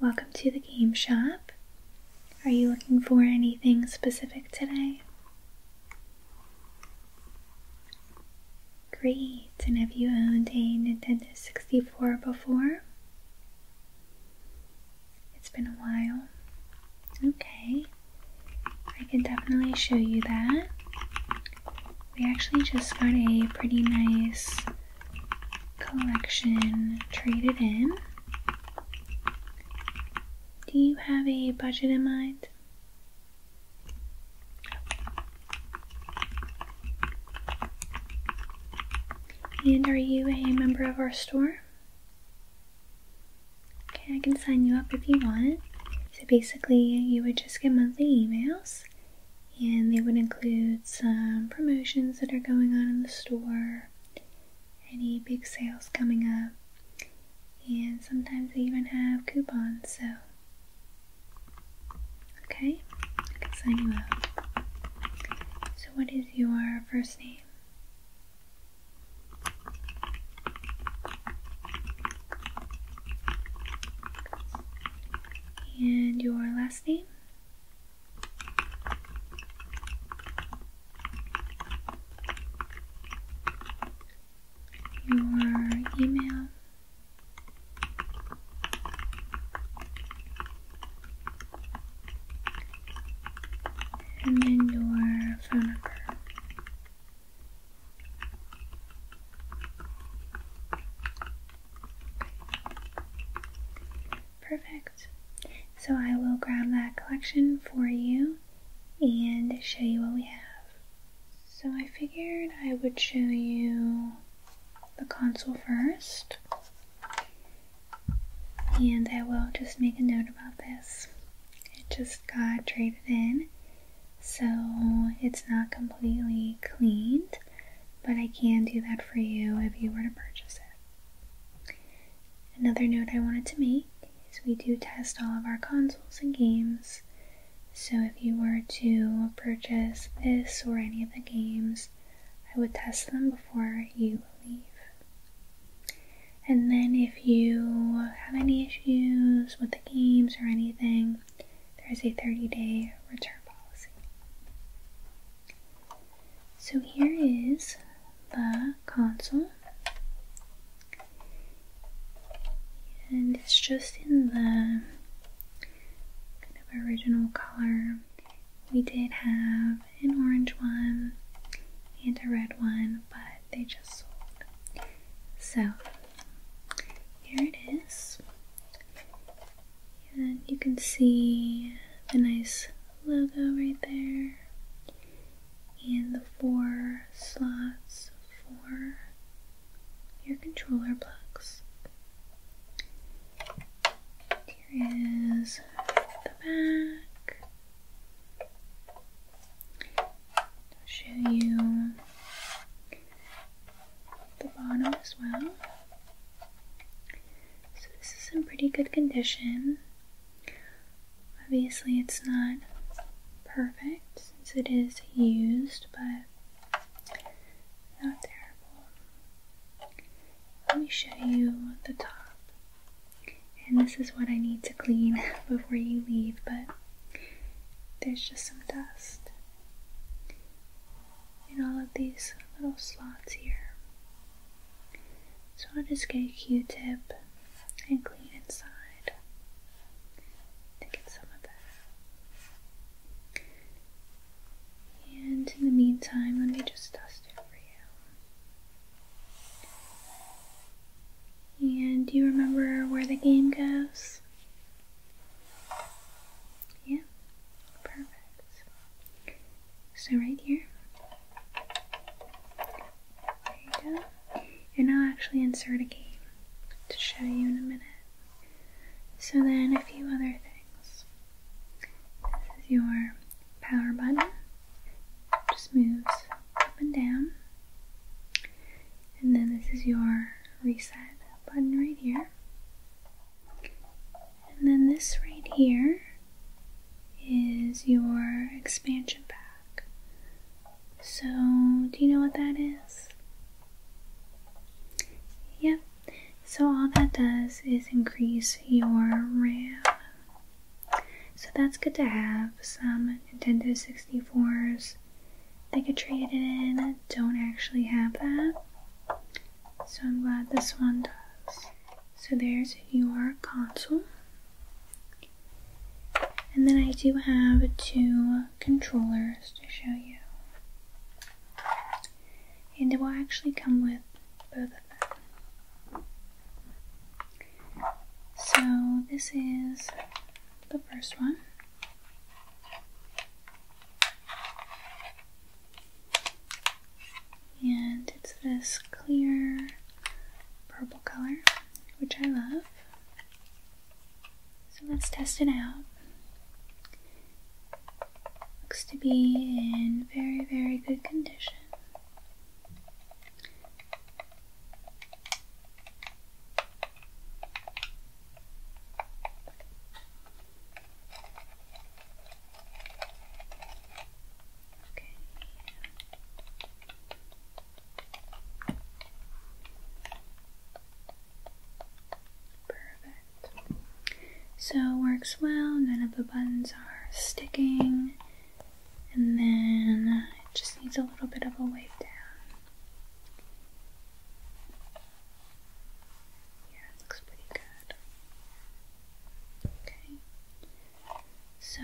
Welcome to the game shop. Are you looking for anything specific today? Great, and have you owned a Nintendo 64 before? It's been a while. Okay, I can definitely show you that we actually just got a pretty nice collection traded in. Do you have a budget in mind? And are you a member of our store? Okay, I can sign you up if you want. So basically, you would just get monthly emails and they would include some promotions that are going on in the store, any big sales coming up, and sometimes they even have coupons. So, okay, I can sign you So, what is your first name? And your last name? Your email? And then your phone number. Perfect. So I will grab that collection for you and show you what we have. So I figured I would show you the console first. And I will just make a note about this. It just got traded in so it's not completely cleaned but I can do that for you if you were to purchase it. Another note I wanted to make is we do test all of our consoles and games so if you were to purchase this or any of the games I would test them before you leave. And then if you have any issues with the games or anything there is a 30 day return policy. So here is the console, and it's just in the kind of original color. We did have an orange one and a red one, but they just sold. So here it is. And you can see the nice logo right there. And the four slots for your controller plugs. Here is the back. show you the bottom as well. So this is in pretty good condition. Obviously it's not perfect since it is used, but not terrible. Let me show you the top. And this is what I need to clean before you leave, but there's just some dust in all of these little slots here. So I'll just get a Q-tip and clean inside to get some of that. And in the meantime, let me just dust it for you. And do you remember where the game goes? Yeah, perfect. So right here. There you go. And I'll actually insert a game to show you in a minute. So then a few other things. This is your power button. Just moves up and down. And then this is your reset button right here. And then this right here is your expansion pack. So, do you know what that is? Yep. So, all that does is increase your RAM. So, that's good to have. Some Nintendo 64s could trade it in don't actually have that. So I'm glad this one does. So there's your console. And then I do have two controllers to show you. And it will actually come with both of them. So this is the first one. And it's this clear purple color, which I love. So let's test it out. Looks to be in very, very good condition. Okay. Perfect. So works well, none of the buttons are sticking, and then it just needs a little bit of a wave down. Yeah, looks pretty good. Okay. So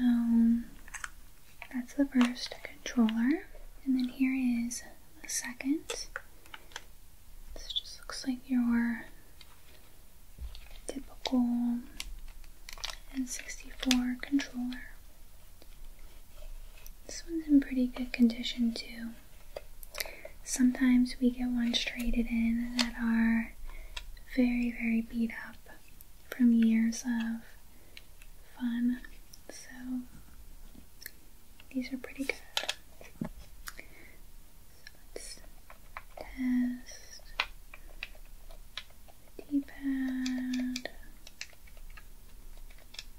that's the first controller. And then here is the second. This just looks like your typical N64 controller. This one's in pretty good condition too sometimes we get ones traded in that are very, very beat up from years of fun. So these are pretty good. let's test the pad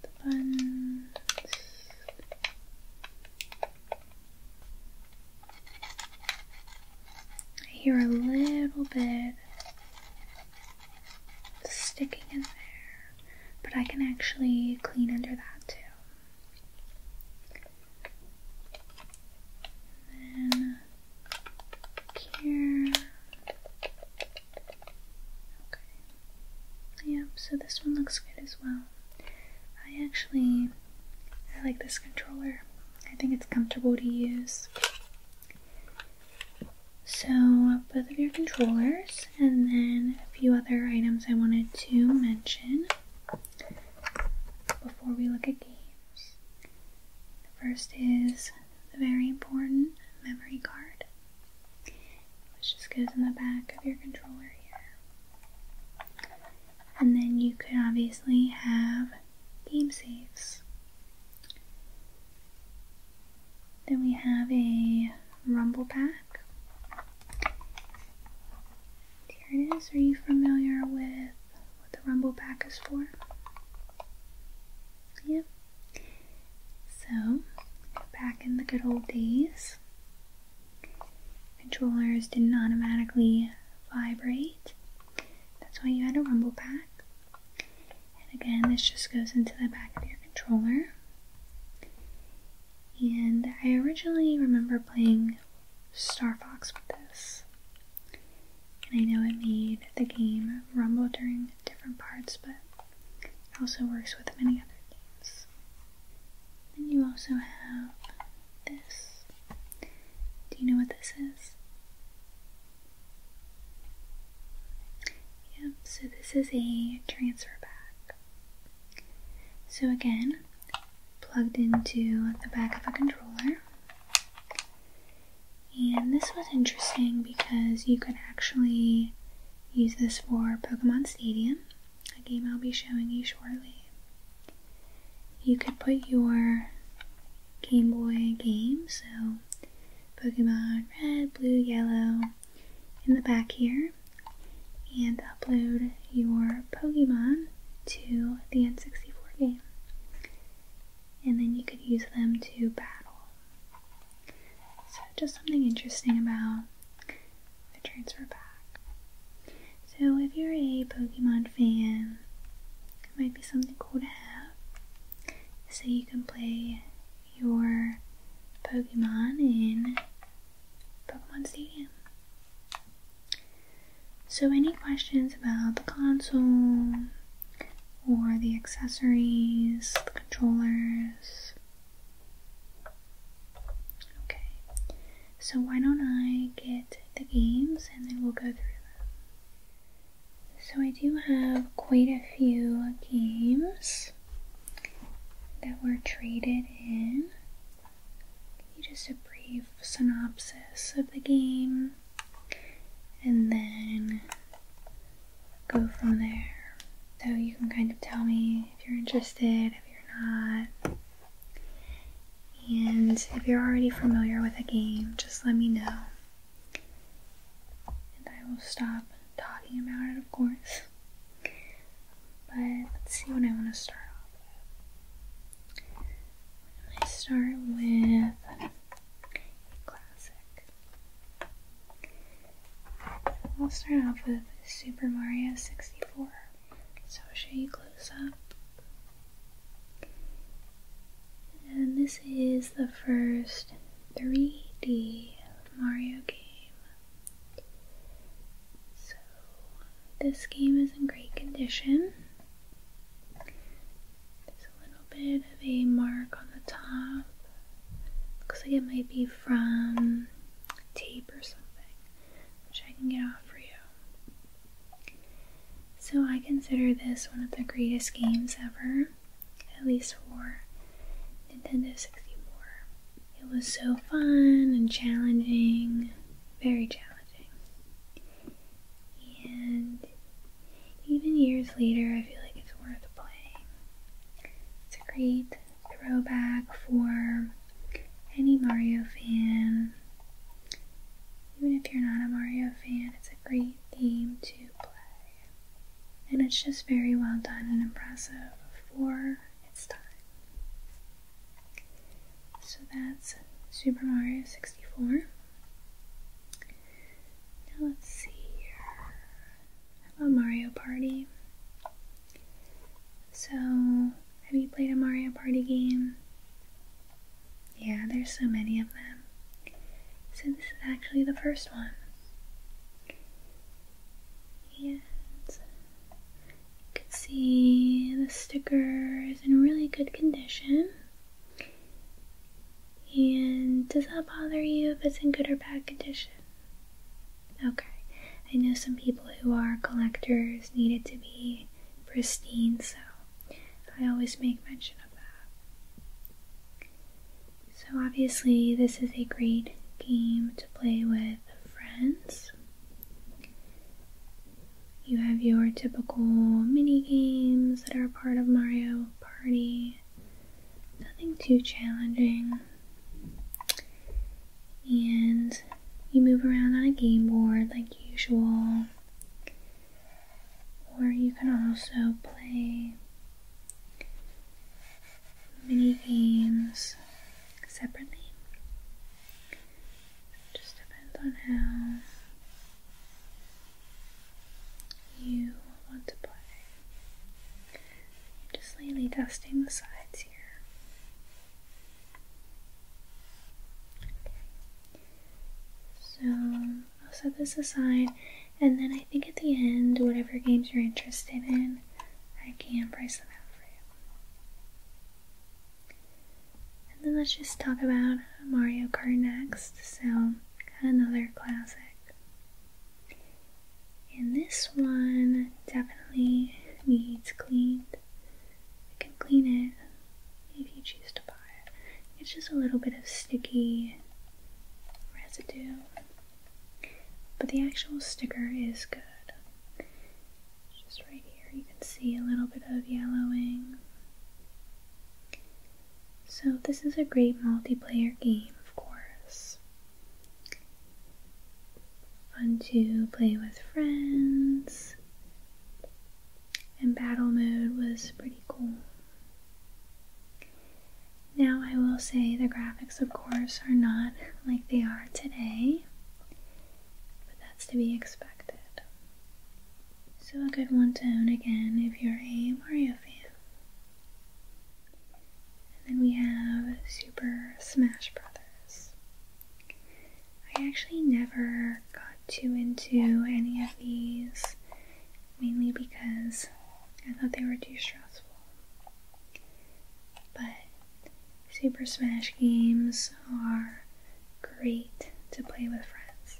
the buttons, I hear a little bit sticking in there, but I can actually clean under that too. then here. Okay. Yep, so this one looks good as well. I actually I like this controller. I think it's comfortable to use. So both of your controllers and then a few other items I wanted to mention before we look at games. The first is the very important memory card, which just goes in the back of your controller here and then you could obviously have game saves. Then we have a rumble pack. There it is. Are you familiar with what the rumble pack is for? Yep. So, back in the good old days, controllers didn't automatically vibrate. That's why you had a rumble pack. And again, this just goes into the back of your controller. And I originally remember playing Star Fox with this. And I know it made the game rumble during different parts, but it also works with many other games. And you also have this. Do you know what this is? Yep, so this is a transfer back. So again, plugged into the back of a controller. And this was interesting because you could actually use this for Pokemon Stadium a game I'll be showing you shortly. You could put your Game Boy game, so Pokemon Red, Blue, Yellow, in the back here, and upload your Pokemon to the N64 game. And then you could use them to battle. So, just something interesting about the transfer back. So if you're a Pokemon fan, it might be something cool to have. So you can play your Pokemon in Pokemon Stadium. So any questions about the console or the accessories, the controllers, Okay, so why don't I get the games and then we'll go through them. So I do have quite a few games that were traded in. Just a brief synopsis of the game and then go from there. So you can kind of tell me if you're interested, if you're not. And if you're already familiar with a game, just let me know. And I will stop talking about it, of course. But let's see what I want to start off with. I start with classic. I'll start off with Super Mario 64. So I'll show you close up. And this is the first 3D Mario game. So this game is in great condition. There's a little bit of a mark on the top. Looks like it might be from tape or something, which I can get off for you. So I consider this one of the greatest games ever, at least for Nintendo 64. It was so fun and challenging, very challenging. And even years later, I feel like it's worth playing. It's a great throwback for any Mario fan. Even if you're not a Mario fan, it's a great game to play. And it's just very well done and impressive for its time. So that's Super Mario 64. Now let's see here. about Mario Party? So have you played a Mario Party game? Yeah, there's so many of them. So this is actually the first one. And you can see the sticker is in really good condition. And does that bother you if it's in good or bad condition? Okay. I know some people who are collectors need it to be pristine, so I always make mention of that. So, obviously, this is a great game to play with friends. You have your typical mini games that are part of Mario Party. Nothing too challenging. And you move around on a game board like usual. Or you can also play mini games separately. just depends on how you want to play. just lightly dusting the sides here. So I'll set this aside, and then I think at the end, whatever games you're interested in, I can price them out for you. And then let's just talk about Mario Kart next. So, another classic. And this one definitely needs cleaned. I can clean it if you choose to buy it. It's just a little bit of sticky residue, but the actual sticker is good. Just right here, you can see a little bit of yellowing. So, this is a great multiplayer game, of course. Fun to play with friends, and battle mode was pretty cool. Now, I will say the graphics, of course, are not like they are today, but that's to be expected. So, a good one to own again if you're a Mario fan. And then we have Super Smash Brothers. I actually never got too into any of these, mainly because I thought they were too stressful. But Super Smash games are great to play with friends,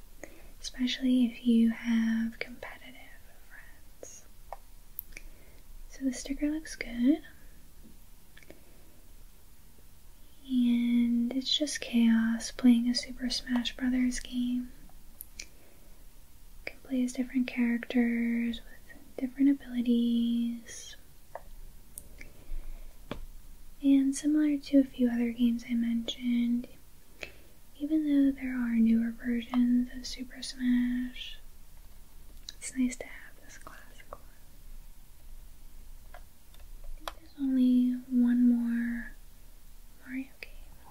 especially if you have competitive friends. So the sticker looks good and it's just chaos playing a Super Smash Brothers game. You can play as different characters with different abilities. And similar to a few other games I mentioned, even though there are newer versions of Super Smash, it's nice to have this classic one there's only one more Mario game.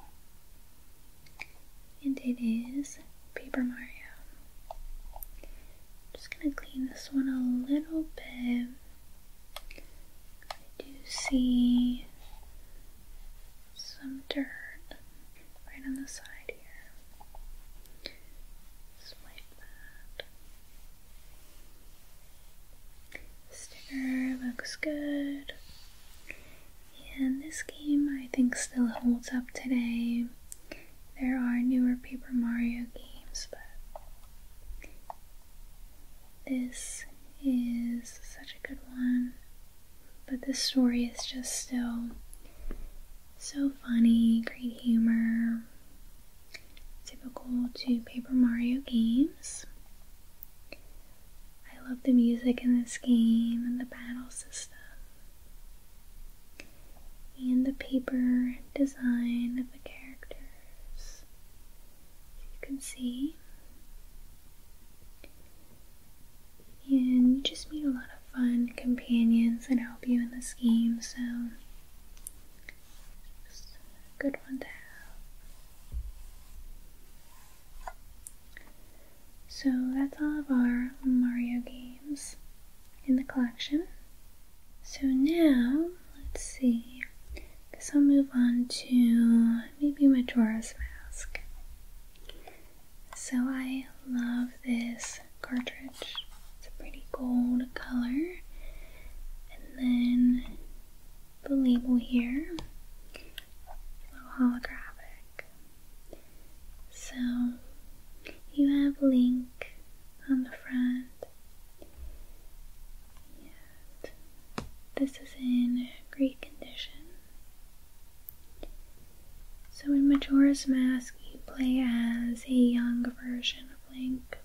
And it is Paper Mario. I'm just gonna clean this one a little bit. I do see some dirt right on the side here. Swipe that. Sticker looks good. And this game I think still holds up today. There are newer Paper Mario games, but this is such a good one. But this story is just still so funny, great humor, typical to Paper Mario games. I love the music in this game and the battle system and the paper design of the characters. As you can see. And you just meet a lot of fun companions and help you in this game, so good one to have. So that's all of our Mario games in the collection. So now, let's see, I I'll move on to maybe Majora's Mask. So I love this cartridge. It's a pretty gold color. And then the label here. a little holographic. So you have Link on the front. this is in great condition. So in Majora's Mask, you play as a young version of Link.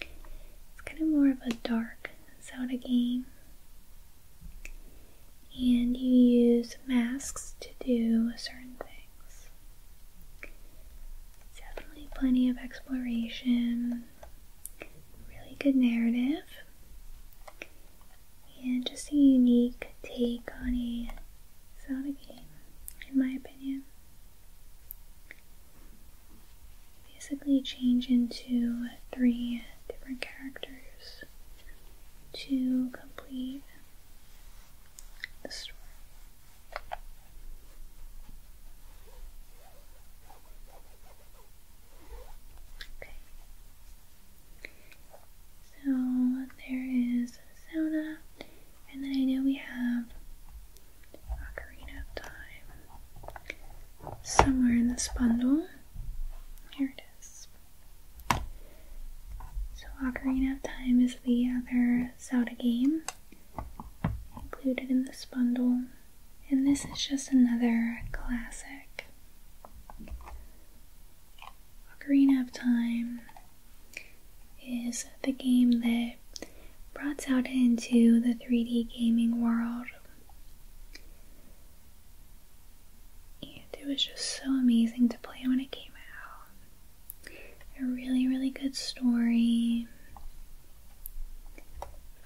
It's kind of more of a dark soda game. And you use masks to do certain things. Definitely plenty of exploration, really good narrative, and just a unique take on a soda game, in my opinion basically change into three different characters to complete the story. Okay. So there is Sauna, and then I know we have Ocarina of Time. Somewhere in this bundle. Here it is. So, Ocarina of Time is the other Zelda game included in this bundle, and this is just another classic. Ocarina of Time is the game that brought out into the 3D gaming world. And it was just so amazing to play when it came out. A really, really good story,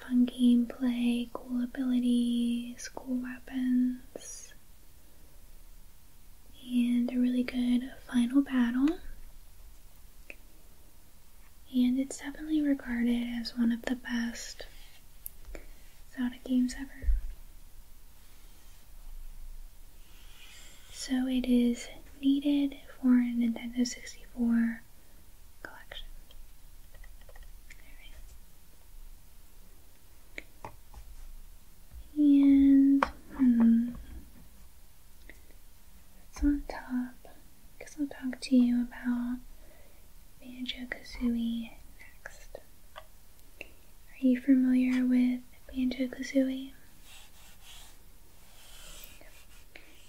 fun gameplay, cool abilities, cool weapons, and a really good final battle and it's definitely regarded as one of the best Zelda games ever. So it is needed for a Nintendo 64 collection. And hmm, it's on top because I'll talk to you about Banjo Kazooie next. Are you familiar with Banjo Kazooie?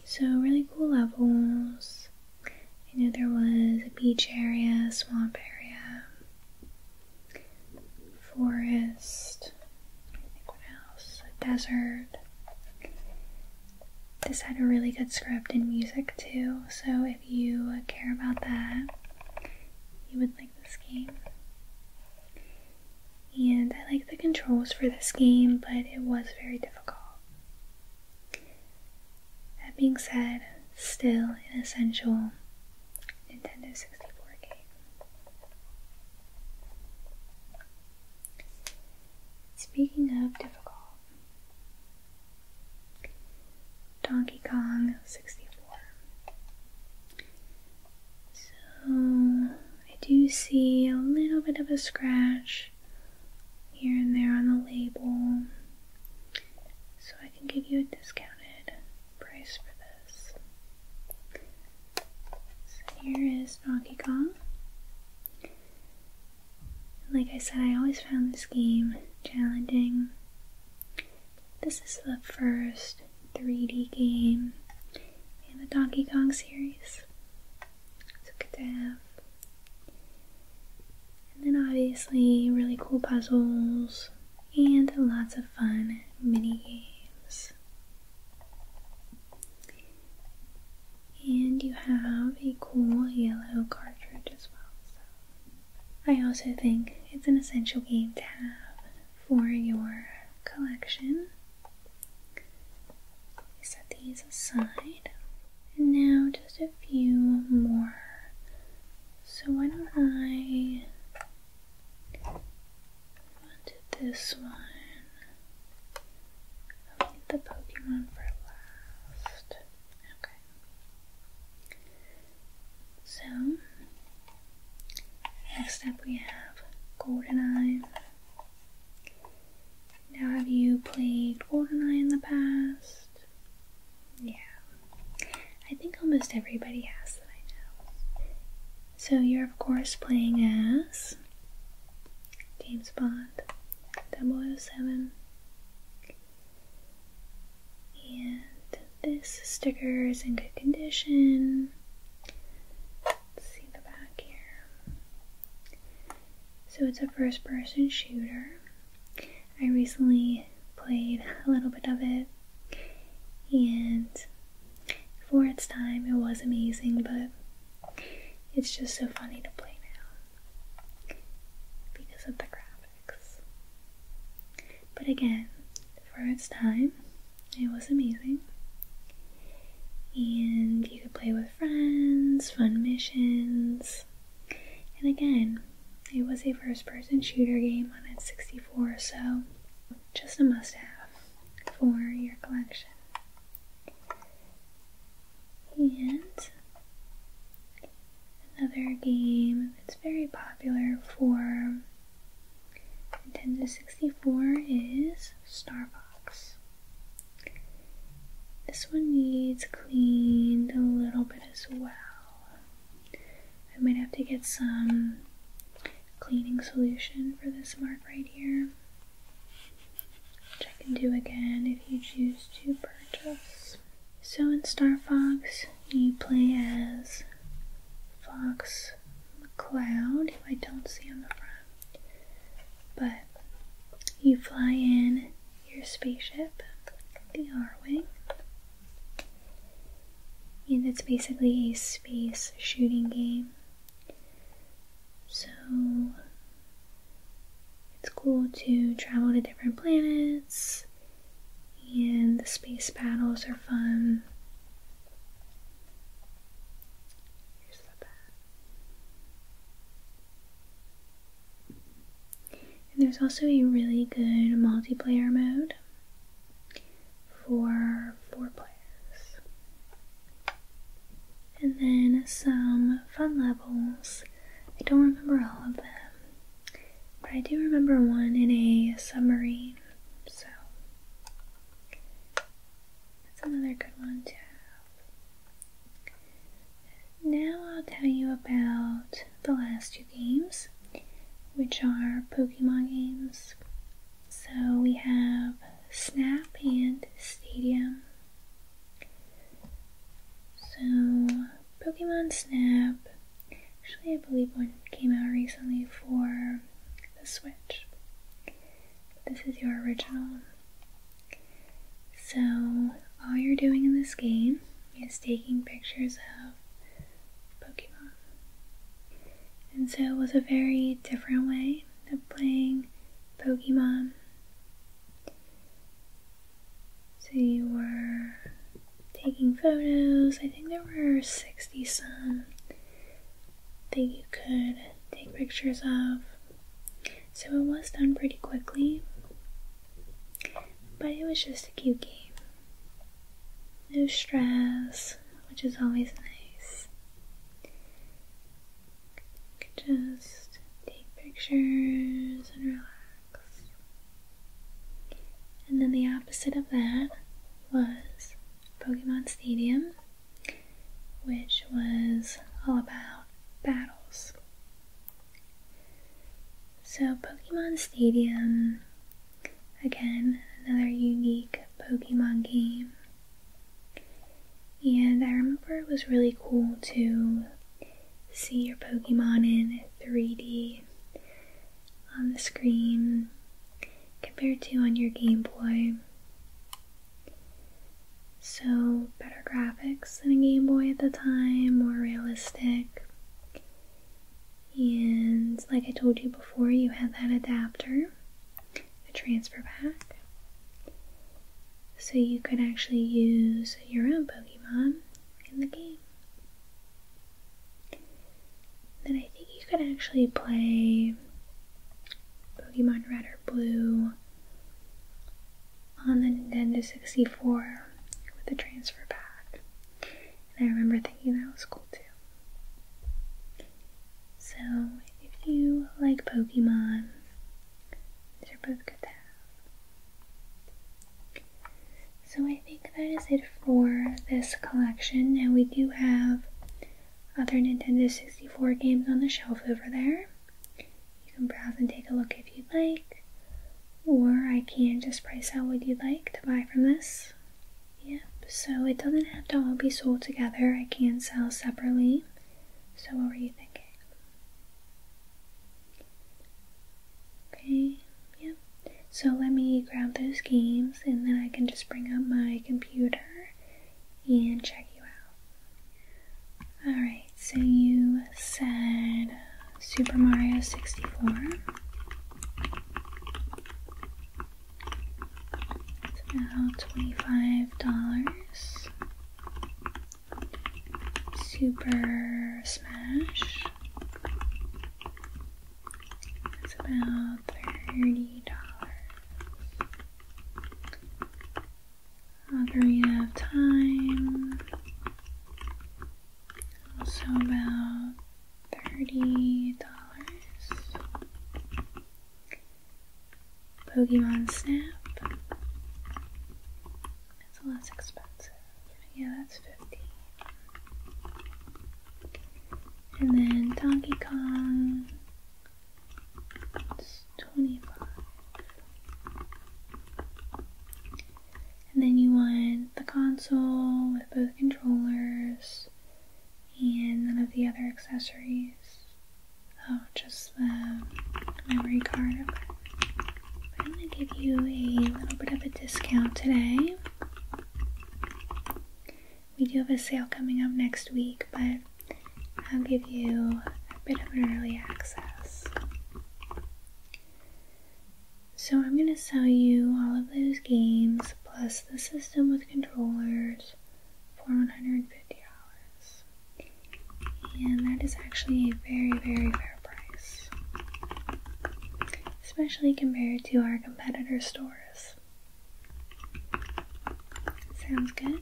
So, really cool levels. I know there was a beach area, swamp area, forest, what else? desert. This had a really good script and music too, so if you care about that, you would like this game. And I like the controls for this game, but it was very difficult. That being said, still an essential Nintendo 64 game. Speaking of difficult, Donkey Kong 64. So I do see a little bit of a scratch here and there on the label. So I can give you a discounted price for this. So here is Donkey Kong. Like I said, I always found this game challenging. This is the first 3D game in the Donkey Kong series. So good to have. And then obviously really cool puzzles and lots of fun mini games and you have a cool yellow cartridge as well. So I also think it's an essential game to have for your collection. Set these aside. And now just a few more. So why don't I go this one? I'll the Pokemon for last. Okay. So, next up we have Eye. Now, have you played Eye in the past? Yeah. I think almost everybody has that I know. So, you're of course playing as James Bond, 007. And this sticker is in good condition. see the back here. So it's a first person shooter. I recently played a little bit of it and for its time it was amazing, but it's just so funny to play now because of the graphics. But again, for its time, it was amazing. And you could play with friends, fun missions. And again, it was a first person shooter game on its 64, so just a must have for your collection. And another game that's very popular for Nintendo 64 is Star Fox. This one needs cleaned a little bit as well. I might have to get some cleaning solution for this mark right here which I can do again if you choose to purchase. So in Star Fox, you play as Fox McCloud, who I don't see on the front, but you fly in your spaceship, the R-Wing, and it's basically a space shooting game. So it's cool to travel to different planets, and the space battles are fun. And there's also a really good multiplayer mode for four players and then some fun levels. I don't remember all of them, but I do remember one in a submarine, so that's another good one to Now I'll tell you about the last two games, which are Pokemon games. So we have Snap and Stadium. So, Pokemon Snap. Actually, I believe one came out recently for the Switch. This is your original. So, all you're doing in this game is taking pictures of Pokemon. And so, it was a very different way of playing Pokemon. So you were taking photos. I think there were 60 some that you could take pictures of. So it was done pretty quickly, but it was just a cute game. No stress, which is always nice. Could just take pictures and relax. And then the opposite of that was Pokemon Stadium, which was all about battles. So, Pokemon Stadium, again, another unique Pokemon game. And I remember it was really cool too see your Pokemon in 3D on the screen compared to on your Game Boy. So, better graphics than a Game Boy at the time, more realistic. And like I told you before, you had that adapter, the transfer pack. So you could actually use your own Pokemon in the game. Then I think you could actually play Pokemon Red or Blue on the Nintendo 64 with the transfer pack. And I remember thinking that was cool too. So if you like Pokemon, these are both good to have. So I think that is it for this collection. and we do have other Nintendo 64 games on the shelf over there. You can browse and take a look if you'd like. Or I can just price out what you'd like to buy from this. Yep, so it doesn't have to all be sold together. I can sell separately. So what were you thinking? Okay, yeah. So let me grab those games and then I can just bring up my computer and check you out. Alright, so you said Super Mario 64. It's $25. Super Smash. That's about thirty dollars. Ocarina of Time. Also about thirty dollars. Pokemon Snap. It's lot expensive. Yeah, that's 15. And then Donkey Kong, it's 25. And then you want the console with both controllers and none of the other accessories. Oh, just the memory card. I'm going to give you a little bit of a discount today. We do have a sale coming up next week, but I'll give you a bit of an early access. So I'm going to sell you all of those games plus the system with controllers for $150 and that is actually a very, very fair price, especially compared to our competitor stores. Sounds good.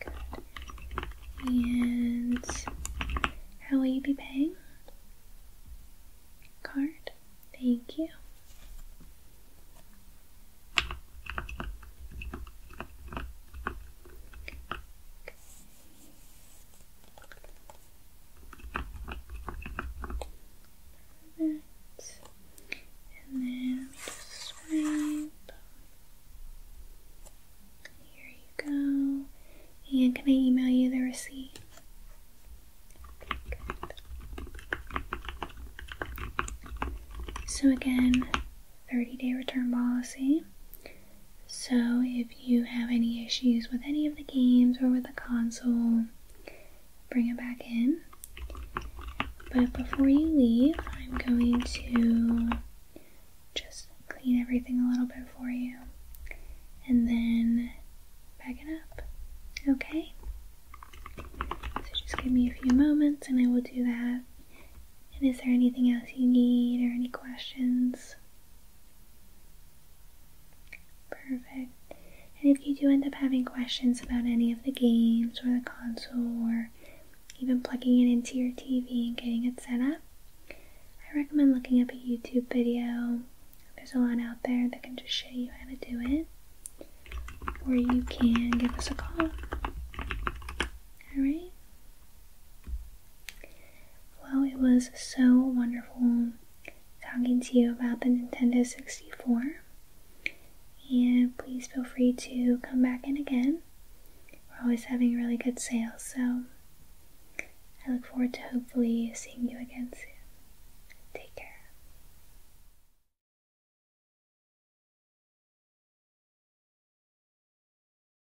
Good. And how will you be paying? Card. Thank you. And then swipe. Here you go. And can I email you the receipt? So again, 30 day return policy. So, if you have any issues with any of the games or with the console, bring it back in. But before you leave, I'm going to just clean everything a little bit for you and then bag it up. Okay? So, just give me a few moments and I will do that. And is there anything else you need or any questions? Perfect. And if you do end up having questions about any of the games or the console or even plugging it into your TV and getting it set up, I recommend looking up a YouTube video. There's a lot out there that can just show you how to do it. Or you can give us a call. Alright? Well, it was so wonderful talking to you about the Nintendo 64. And please feel free to come back in again. We're always having really good sales, so I look forward to hopefully seeing you again soon. Take care.